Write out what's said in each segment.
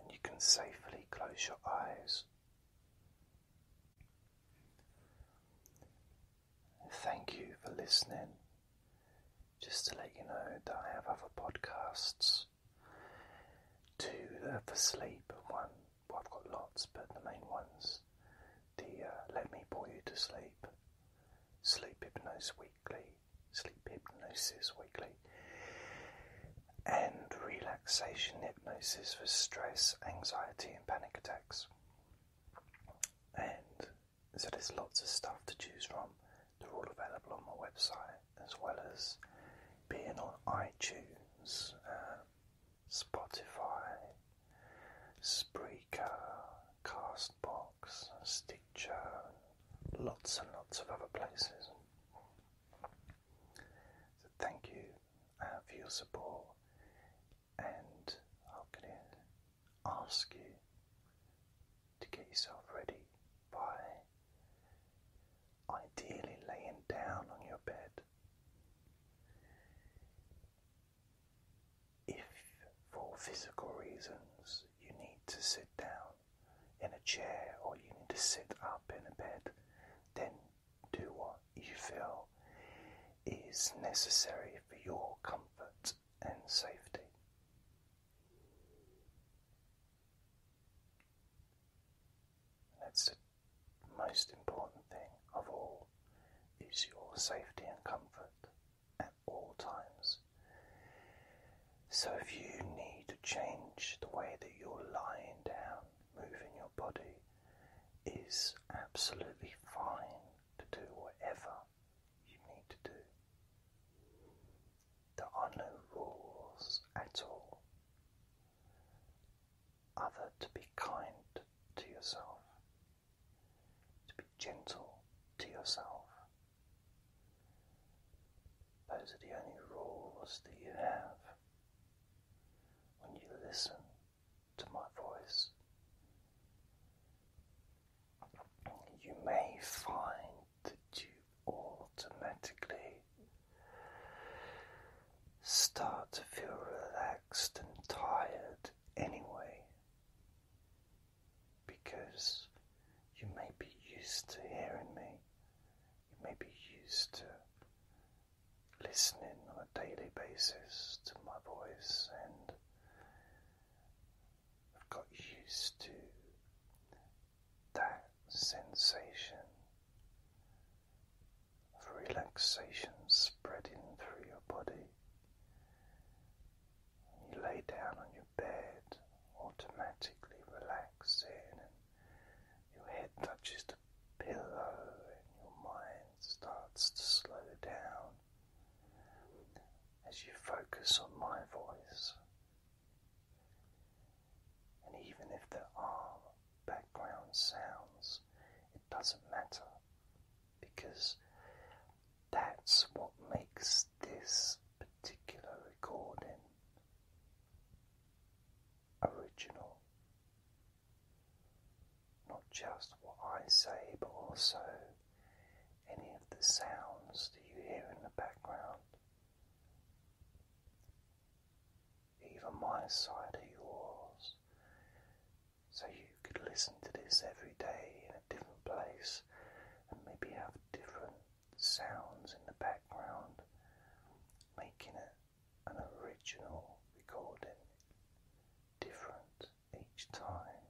and you can safely close your eyes. Thank you for listening. Just to let you know that I have other podcasts. Two that for sleep, and one, well, I've got lots, but the main ones the uh, Let Me Bore You to Sleep, Sleep Hypnose Weekly, sleep hypnosis weekly, and relaxation hypnosis for stress, anxiety, and panic attacks. And so there's lots of stuff to choose from. They're all available on my website as well as being on iTunes, uh, Spotify, Spreaker, Castbox, Stitcher, lots and lots of other places. So thank you uh, for your support, and I'm going ask you to get yourself ready by ideally laying down on your bed. If for physical reasons you need to sit down, in a chair or you need to sit up in a bed, then do what you feel is necessary for your comfort and safety. That's the most important thing of all is your safety and comfort at all times. So, if you need to change the way that you're lying down, moving your body is absolutely fine to do whatever you need to do. There are no rules at all, other to be kind to yourself, to be gentle to yourself, those are the only rules that you have when you listen to my voice. You may find that you automatically start to feel relaxed and tired anyway because you may be used to hearing me, you may be used to listening on a daily basis to my voice, and I've got used to that sensation of relaxation spreading through your body. You lay down on your bed, automatically relaxing, and your head touches the pillow, and your mind starts to slow down as you focus on my voice. And even if there are background sounds, it doesn't matter because that's what makes this particular recording original. Not just what I say, but also any of the sounds that you hear in the background. Even my side of yours. So you could listen to this every day different place and maybe have different sounds in the background, making it an original recording, different each time,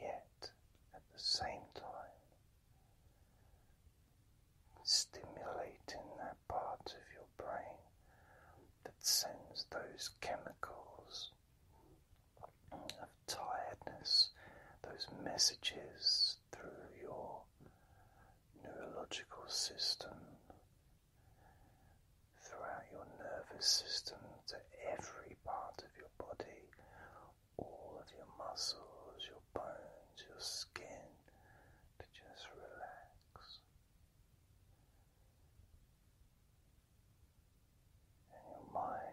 yet at the same time stimulating that part of your brain that sends those chemicals of tiredness, those messages through your neurological system, throughout your nervous system to every part of your body, all of your muscles, your bones, your skin, to just relax. And your mind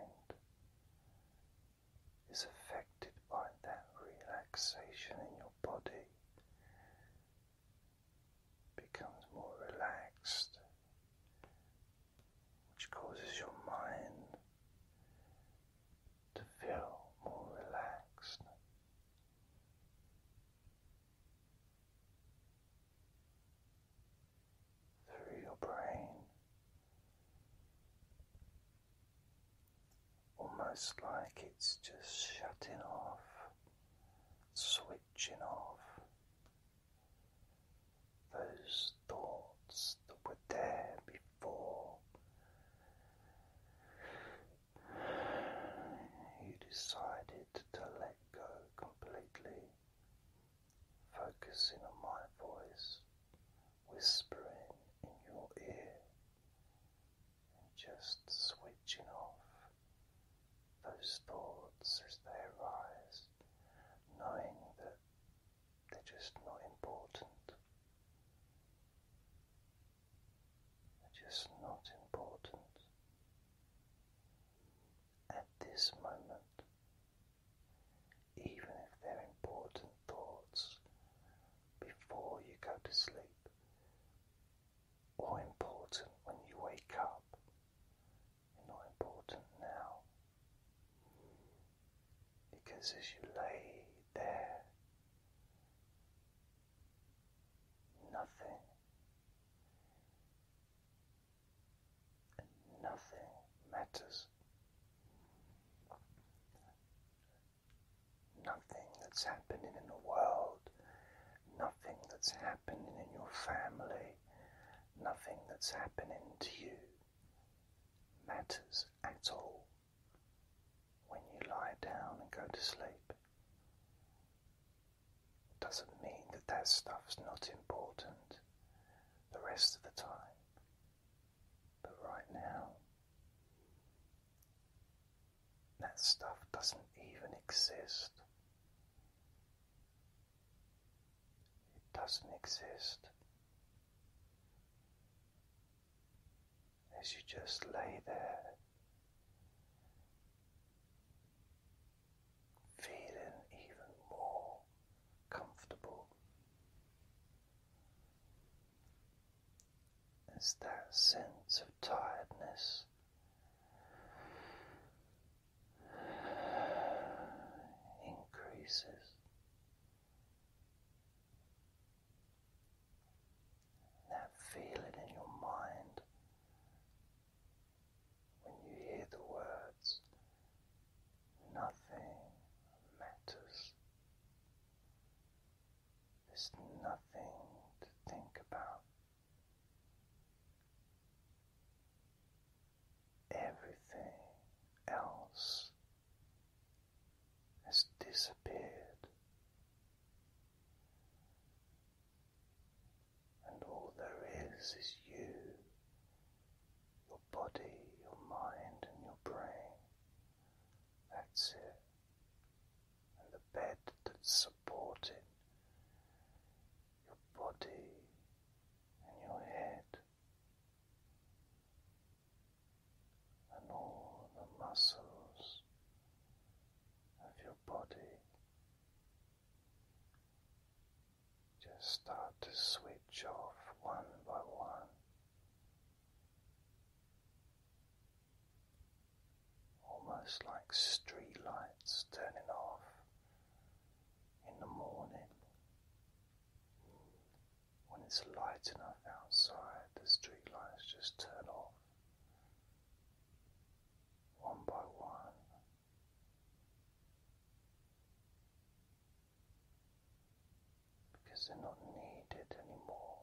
is affected by that relaxation in your body, becomes more relaxed, which causes your mind to feel more relaxed. Through your brain, Almost like it's just shutting off, switching off those thoughts that were there before you decided to let go completely focusing on my voice, whispering in your ear, and just switching off those thoughts as they arise, knowing that they're just not important. They're just not important. At this moment, even if they're important thoughts, before you go to sleep, or important when you wake up. You're not important now. Because as you lay there, nothing nothing matters. Nothing that's happening in the world, nothing that's happening in your family, nothing that's happening to you matters at all when you lie down and go to sleep. doesn't mean that that stuff's not important the rest of the time. But right now, that stuff doesn't even exist. It doesn't exist. As you just lay there feeling even more comfortable. It's that sense of tiredness. Increases. That feeling in your mind when you hear the words, nothing matters. There's nothing to think about. Everything else has disappeared and all there is is you, your body, your mind, and your brain. That's it. And the bed that's supporting your body and your head, and all the muscles of your body. Just start to switch off one by one. Almost like street lights turning off in the morning. When it's light enough outside, the street lights just turn off one by one because they're not needed anymore.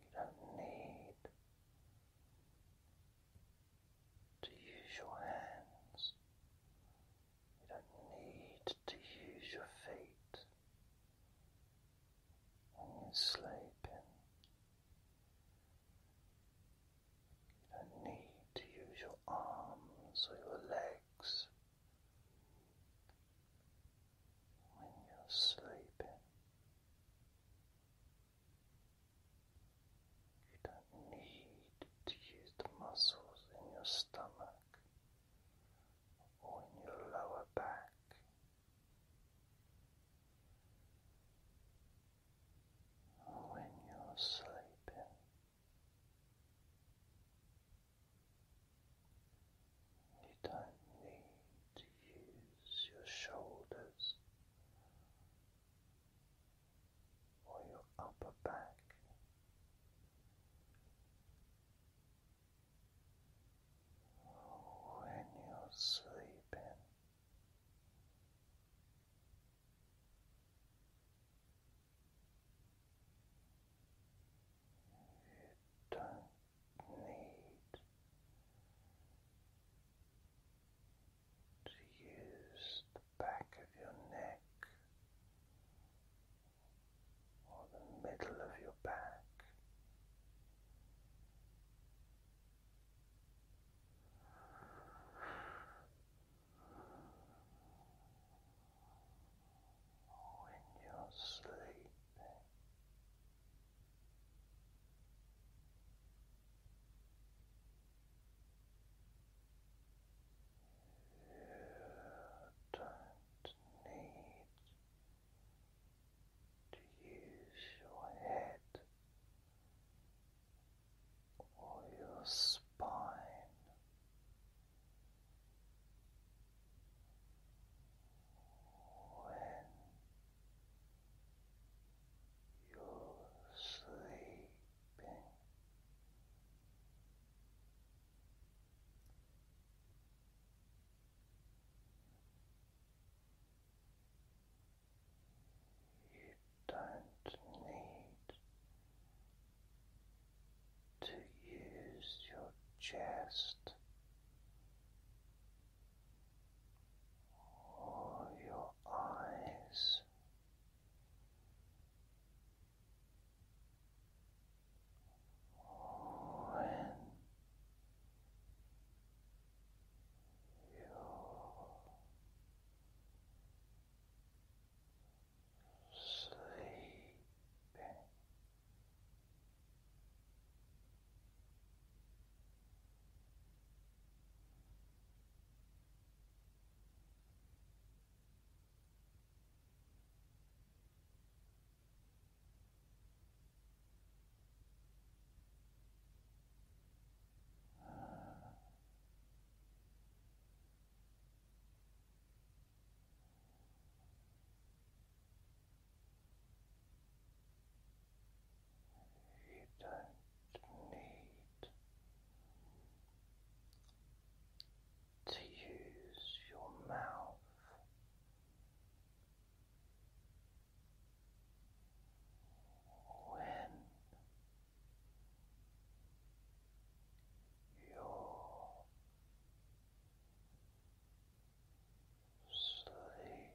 You don't need to use your hands. You don't need to use your feet when you're sleeping. You don't need to use your arms or your legs when you're sleeping. You don't need to use the muscles in your stomach or in your lower back. When you're sleeping, you don't need to use your shoulders or your upper back when you're sleeping. You don't need to use the back of your neck or the middle of your back. When you're sleeping, you don't need to use your head or your spine. When you're sleeping, you don't need to use your chest or your eyes when you sleeping. You don't need to use your mouth. When you're sleeping,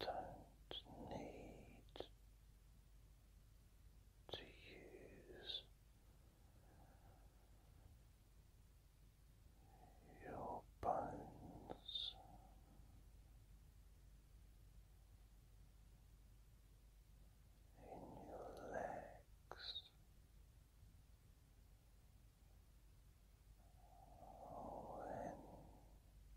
don't need to use your bones. In your legs or in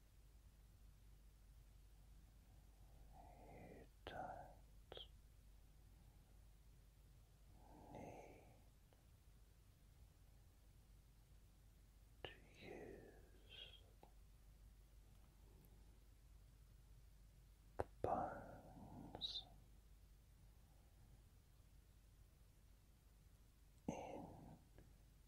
You don't need to use the bones in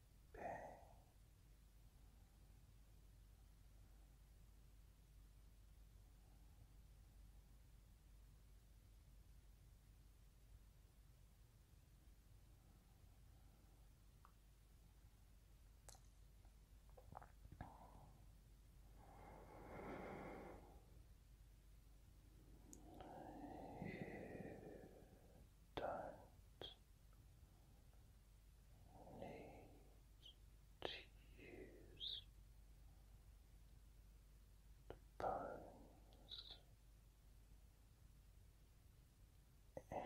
pain. You don't need to use the bones in your feet.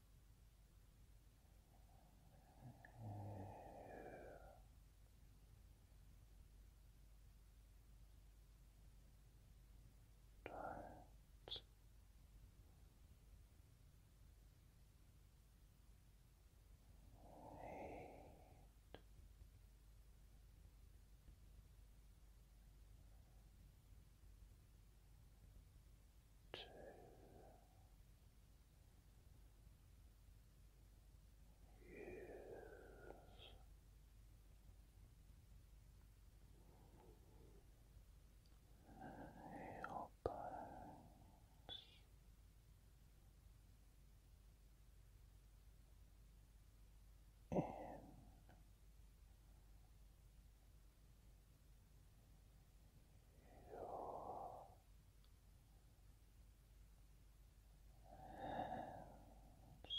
You don't need two, use heel bones. In hands. Your hands, when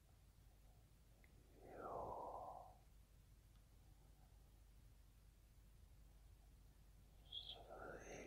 your sleeping.